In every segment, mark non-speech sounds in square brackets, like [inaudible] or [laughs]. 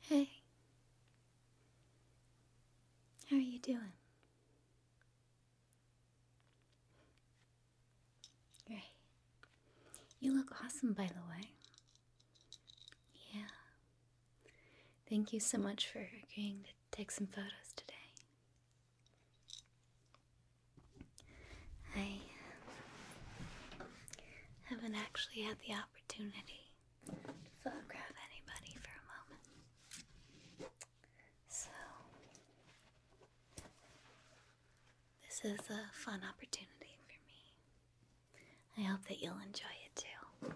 Hey, how are you doing? Great. You look awesome, by the way. Yeah. Thank you so much for agreeing to take some photos today. I uh, haven't actually had the opportunity to photograph anybody for a moment. So, this is a fun opportunity for me. I hope that you'll enjoy it too.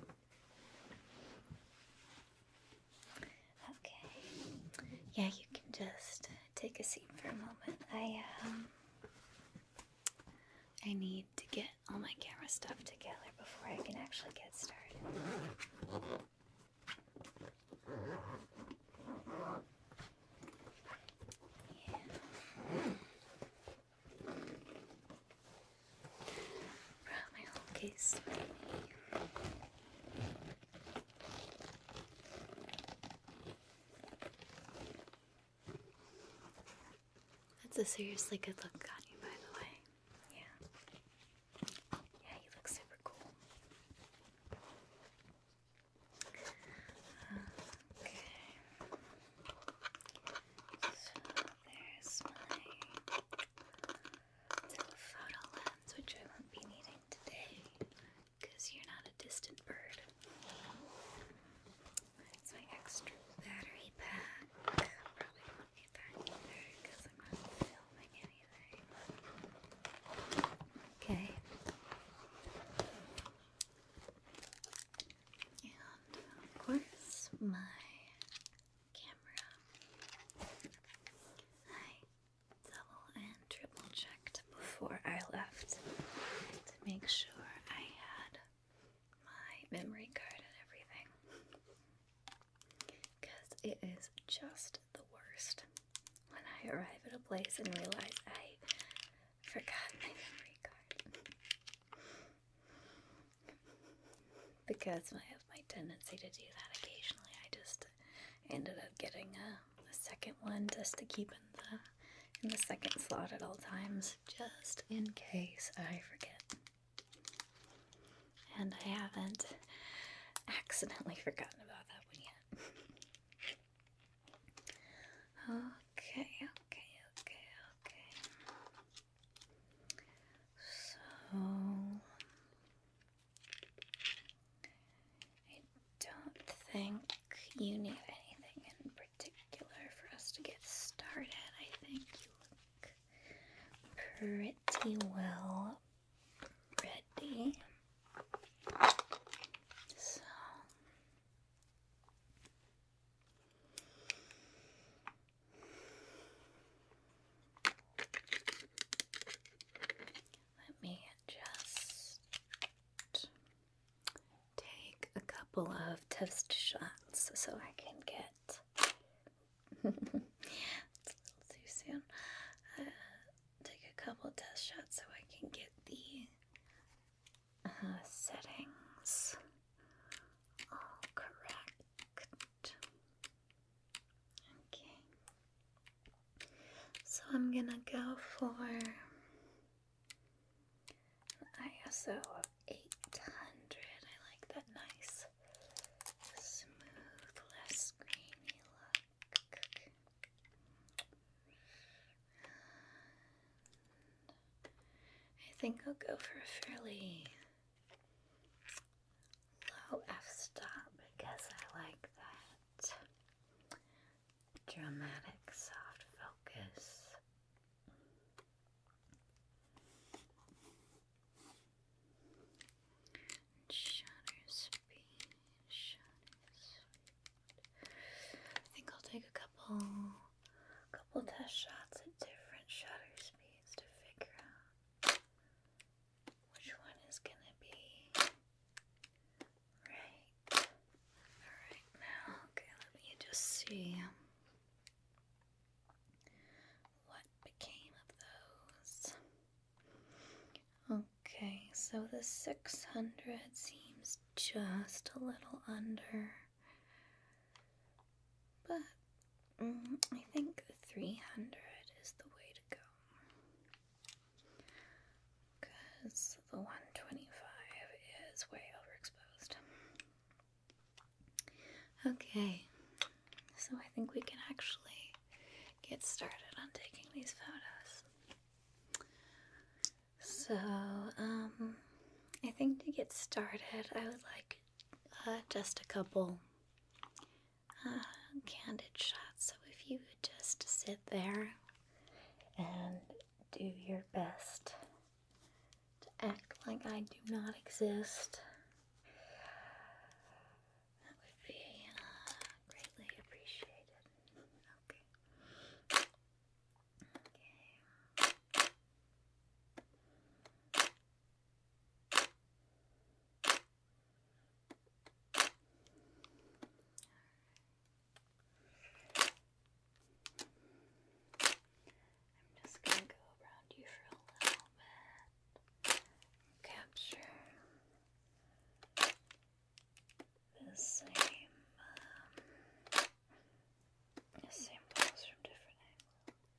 Okay. Yeah, you can just take a seat for a moment. I um I need to get all my camera stuff together before I can actually get started. Yeah. Brought my whole case that's a seriously good look on you, by the way. Yeah. Yeah, you look super cool. Okay. So there's my telephoto lens, which I won't be needing today because you're not a distant bird. That's my extra battery pack. Probably won't need that either because I'm not filming anything. Okay. And of course, my camera. Hi, double and triple checked before I left to make sure I had my memory card and everything. Because it is just the worst when I arrive at a place and realize I forgot my memory card. because I have my tendency to do that occasionally, I just ended up getting a the second one just to keep in the in the second slot at all times, just in case I forget. And I haven't accidentally [laughs] forgotten about that one yet. okay, okay, okay, okay. So I don't think you need anything in particular for us to get started. I think you look pretty well ready. So. Let me just take a couple of test shots so I can get. too [laughs] soon. Uh, take a couple test shots so I can get the uh, settings all correct. Okay. So I'm gonna go for ISO of 800. I like that nice, smooth, less grainy look. I think I'll go for a fairly low f stop because I like that dramatic soft focus. Shutter speed, I think I'll take a couple, couple test shots at different shutter speeds to figure out which one is gonna be right. Alright, now, okay, let me just see what became of those. Okay, so the 600 seems just a little under, but mm, I think the 300 is the way to go. Because the 125 is way overexposed. Okay, so I think we can actually get started on taking these photos. So, um, I think to get started, I would like uh, just a couple uh, candid shot. So if you would just sit there and do your best to act like I do not exist, that would be uh, greatly appreciated. Okay. Okay. I'm just going to go around you for a little bit. Capture the same, um, same balls from different angles.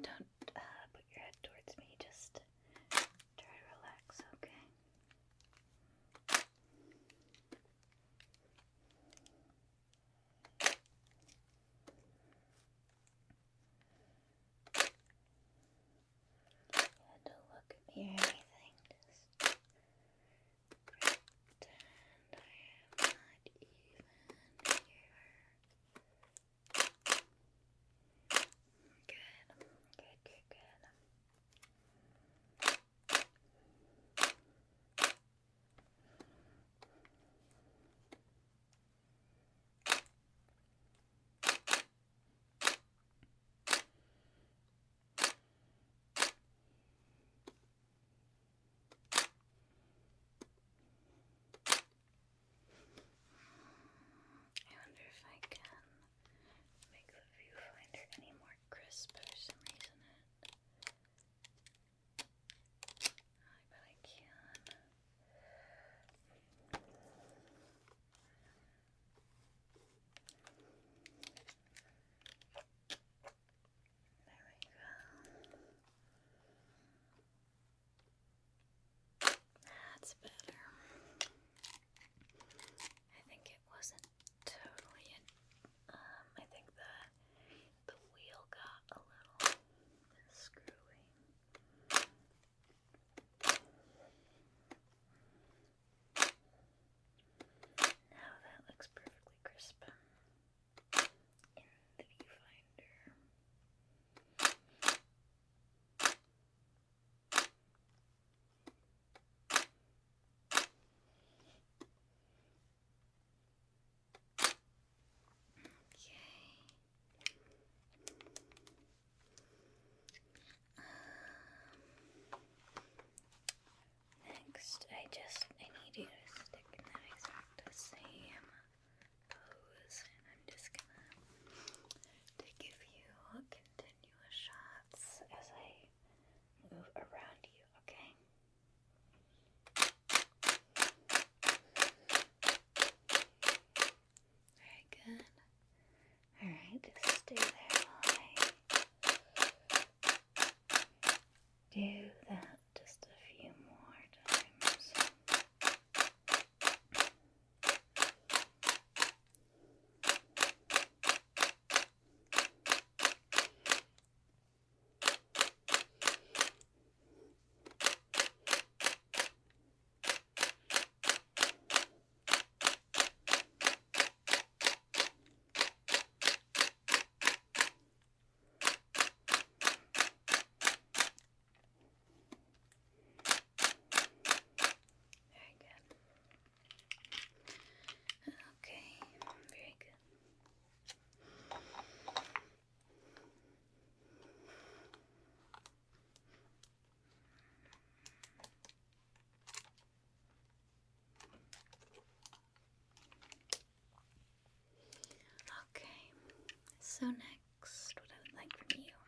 Don't, uh, put your head towards me, just try to relax, okay? And don't look at me or anything, just pretend I am not even here. good, good, good. Good. I wonder if I can make the viewfinder any more crisp for I bet I can. There we go. That's better. I think it wasn't totally. Um, I think the the wheel got a little screwy. Now that looks perfectly crisp in the viewfinder. Okay. Um, next, I just I need you to stick in that exact same pose, and I'm just gonna to give you continuous shots as I move around you. Okay. Very good. Alright, just stay there do that just a few more times. Very good. Okay, very good. Okay, so next, what I would like from you.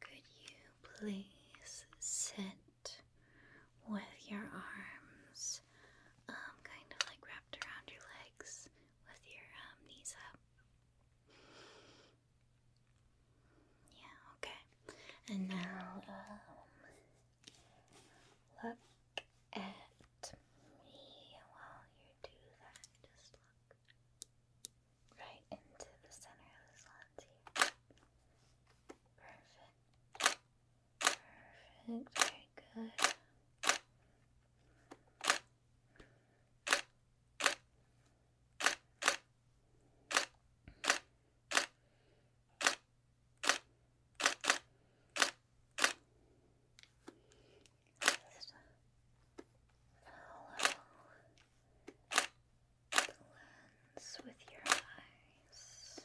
Could you please sit with your arms um, kind of like around your legs with your um, knees up. Yeah, okay. And now, um, look at me while you do that. Just look right into the center of this lens Perfect. Perfect, very good. Just follow the lens with your eyes.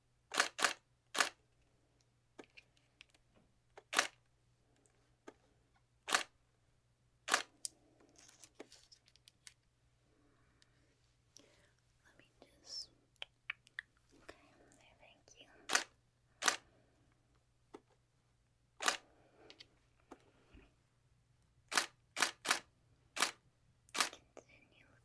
Let me just. Okay, thank you. Continue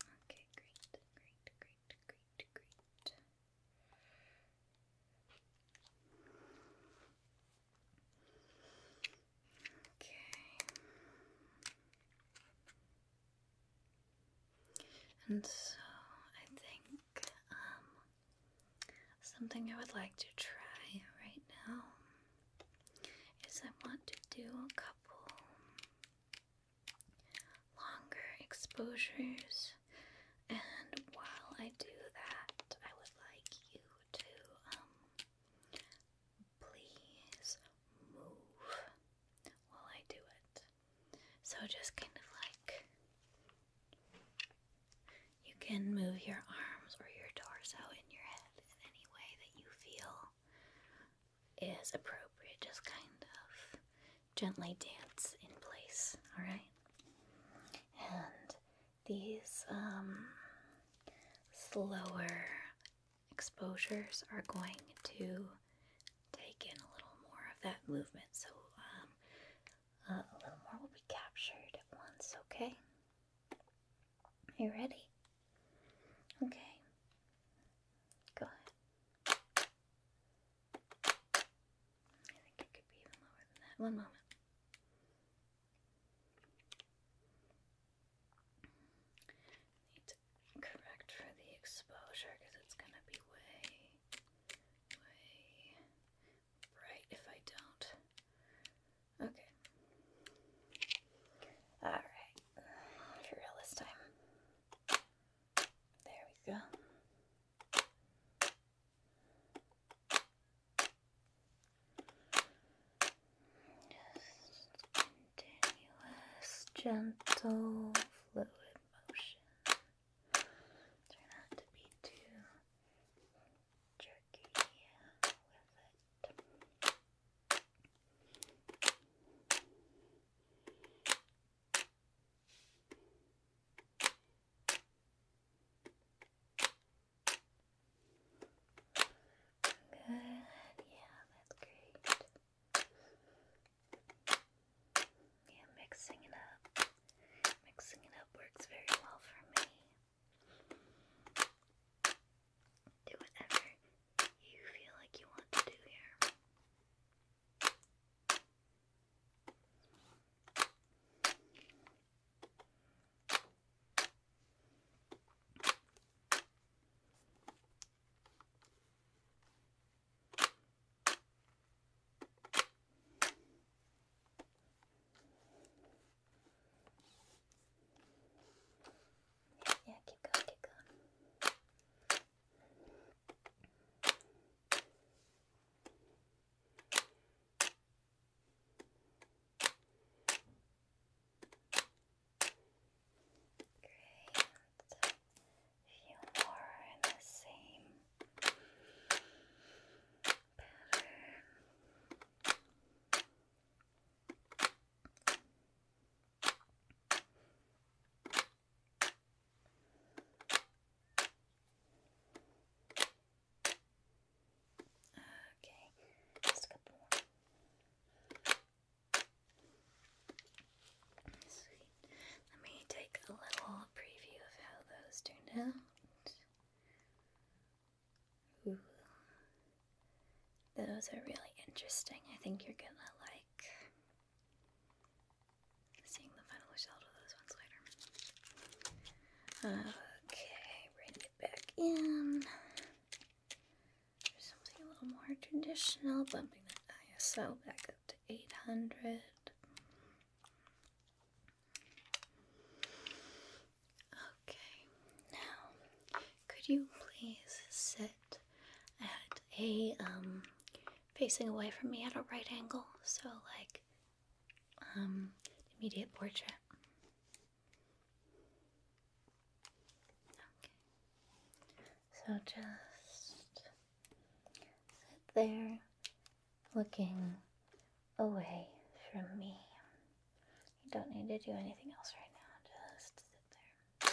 Okay, great, great, great, great, great. Okay. And so I think um, something I would like to try right now is I want to do a couple longer exposures, and while I do that, I would like you to um, please move while I do it. So just kind of like you can move your arms or your torso in your head in any way that you feel is appropriate. Just kind of gently dance in place, alright? And these um, slower exposures are going to take in a little more of that movement, so um, uh, a little more will be captured at once, okay? Are you ready? Okay. Go ahead. I think it could be even lower than that. One moment. Need to correct for the exposure because it's gonna be way, way bright if I don't. Okay. Alright. For real this time. There we go. Just continuous, gentle, fluid motion. Try not to be too jerky with it. Good, yeah, that's great. Yeah, mixing it up. Mixing it up works very well for me. Do whatever you feel like you want to do here. Yeah, keep going, keep going. Great. few more in the same pattern. Okay, just a couple more. Sweet. Let me take a little preview of how those turned out. Those are really interesting. I think you're gonna like seeing the final result of those ones later. Okay, bring it back in. something a little more traditional, bumping that ISO back up to 800. Okay, now could you please sit at a um facing away from me at a right angle? So like um immediate portrait. Okay. So just sit there looking away from me. You don't need to do anything else right now, just sit there. There we go.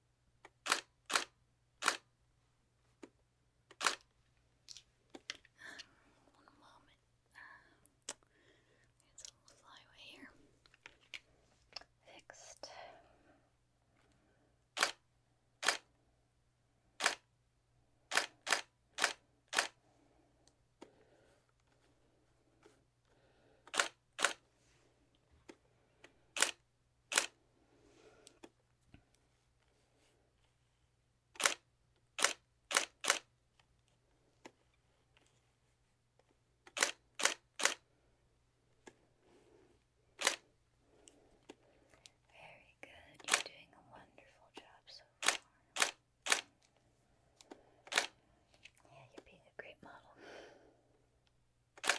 One moment. It's a little fly here. Fixed. Very good. You're doing a wonderful job so far. Yeah, you're being a great model. All right.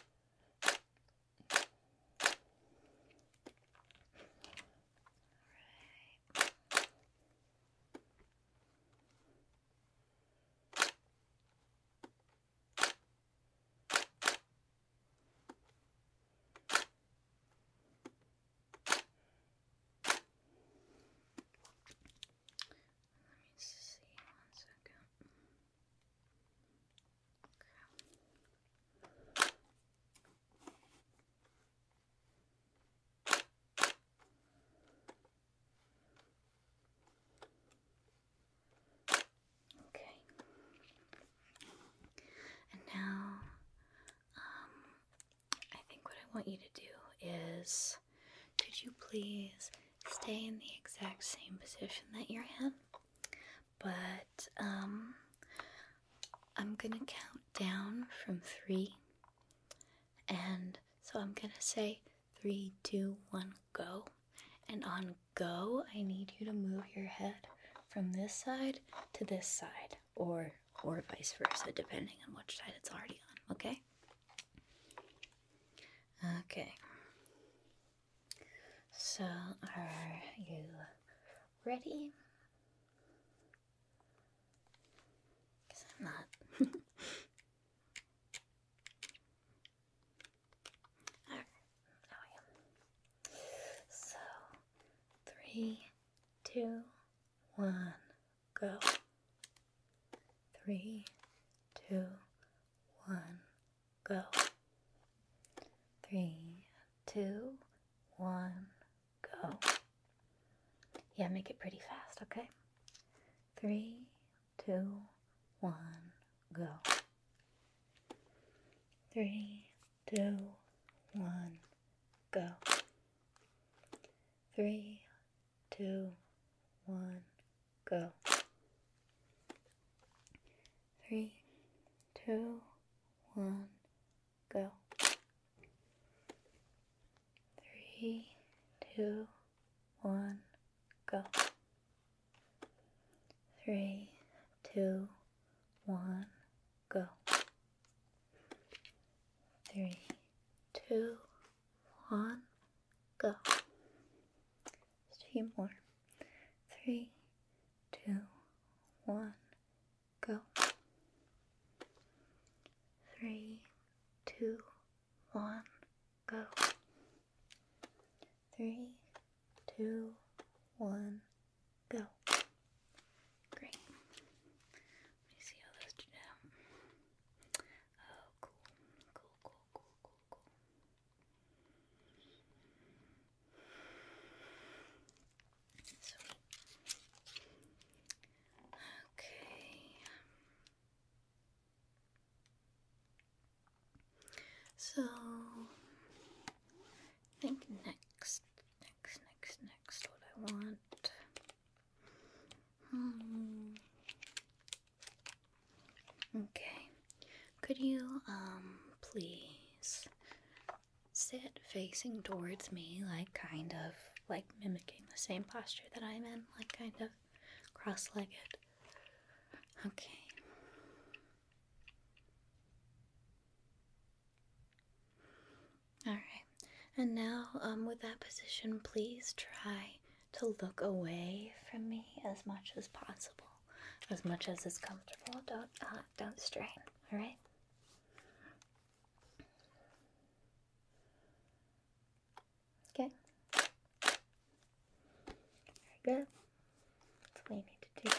Let me see one second. Okay. Okay. And now, um, I think what I want you to do is could you please stay in the exact same position that you're in? But, um, I'm gonna count down from three, and so I'm gonna say three, two, one, go. And on go, I need you to move your head from this side to this side, or or vice versa, depending on which side it's already on. Okay. Okay. So, are you ready? Because I'm not. [laughs] So, three, two, one, go. Three, two, one, go. Three, two, one, go. Yeah, make it pretty fast, okay? Three, two, one, go. Three, two, one, go. Three, two, one, go. Three, two, one, go. Three, two, one, go. Three, two, one, go. Three, two, one, Go. Just few more. Three, two, one, go. Three, two, one, go. Three, two, one, go. Great. Let me see how those do now. Oh, cool, cool, cool cool, cool, cool, Okay. So, I think next, next, next, next, what I want. Hmm. Okay. Could you, um, please sit facing towards me, like kind of like mimicking the same posture that I'm in, like kind of cross legged? Okay. Alright, and now um, with that position, please try to look away from me as much as possible, as much as is comfortable. Don't uh, don't strain. All right. Okay. Very good. That's all need to do now.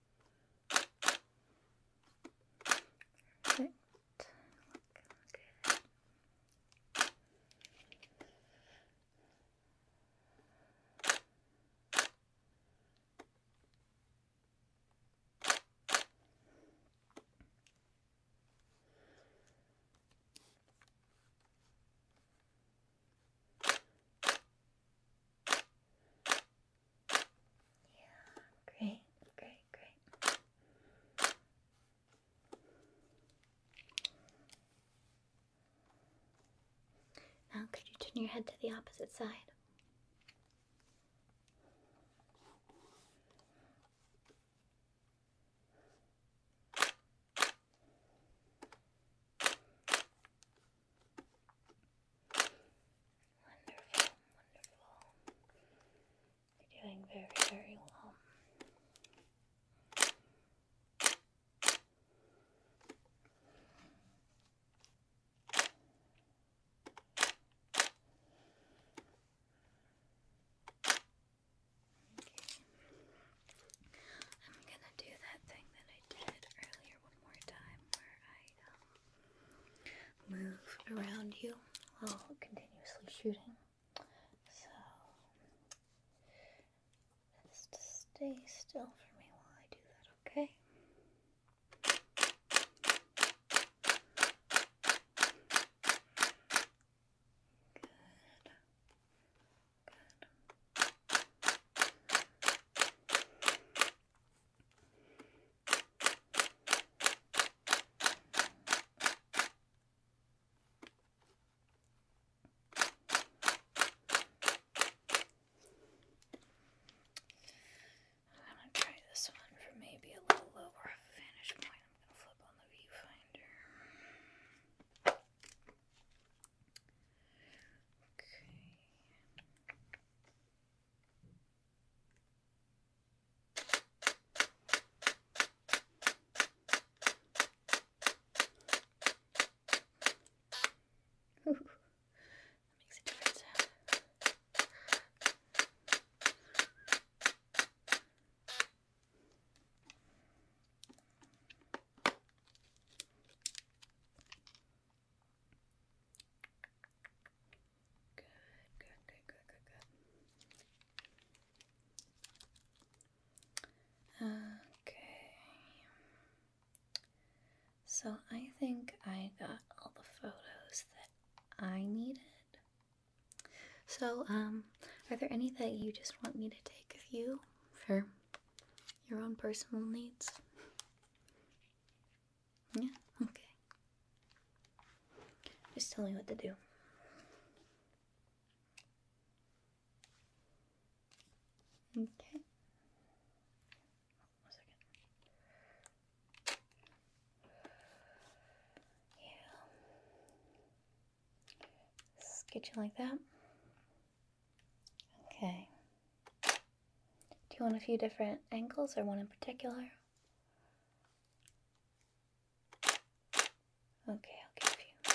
Perfect. Look good. Yeah, great, great, great. Now, could you turn your head to the opposite side? Wonderful, wonderful. You're doing very, very well. Okay. I'm gonna do that thing that I did earlier one more time where I move around you while continuously shooting. So just stay still for me while I do that, okay? Good. Good. I'm going to try this one for maybe a little lower of point. I'm going to flip on the viewfinder. Okay. Ooh, that makes a different sound. Good, good, good, good, good, good. Okay. So I think I got all the photos that I needed. So, um, are there any that you just want me to take of you for your own personal needs? Yeah, okay. Just tell me what to do. Okay. One second. Yeah. Sketch like that. Okay. Do you want a few different angles or one in particular? Okay, I'll give you.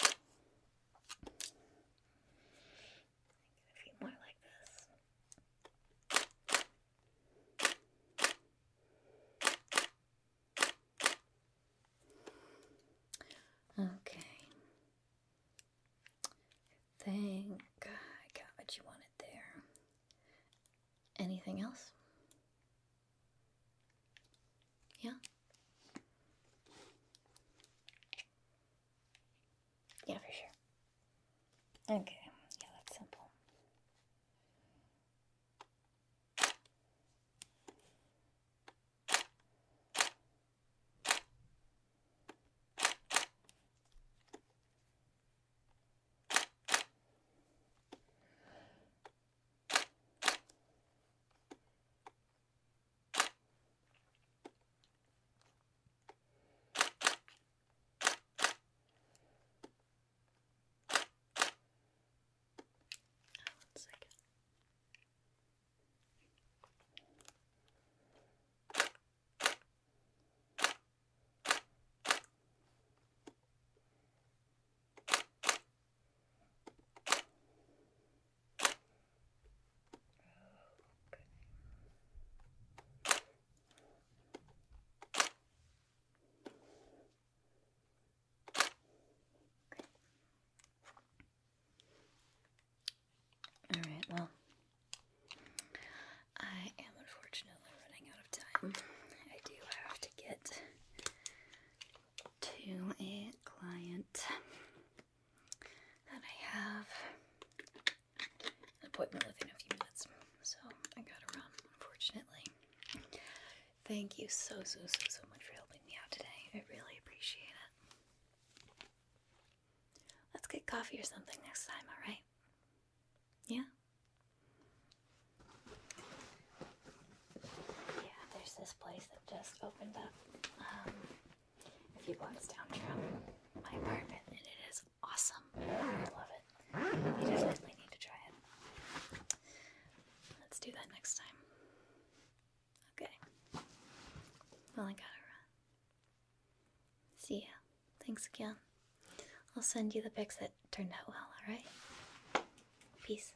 a few more like this. Okay. I think you wanted there. Anything else? Yeah. Yeah, for sure. Okay, yeah, that's simple one second. Okay. All right, well, I am unfortunately running out of time. I do have to get to a client that I have an appointment within a few minutes, so I gotta run, unfortunately. Thank you so, so, so, so much for helping me out today. I really appreciate it. Let's get coffee or something next time, alright? Yeah? Yeah, there's this place that just opened up um, a few blocks down from my apartment, and it is awesome. I love it. We definitely need to try it. Let's do that next time. Okay. Well, I gotta run. See ya. Thanks again. I'll send you the pics that turned out well, alright? Peace.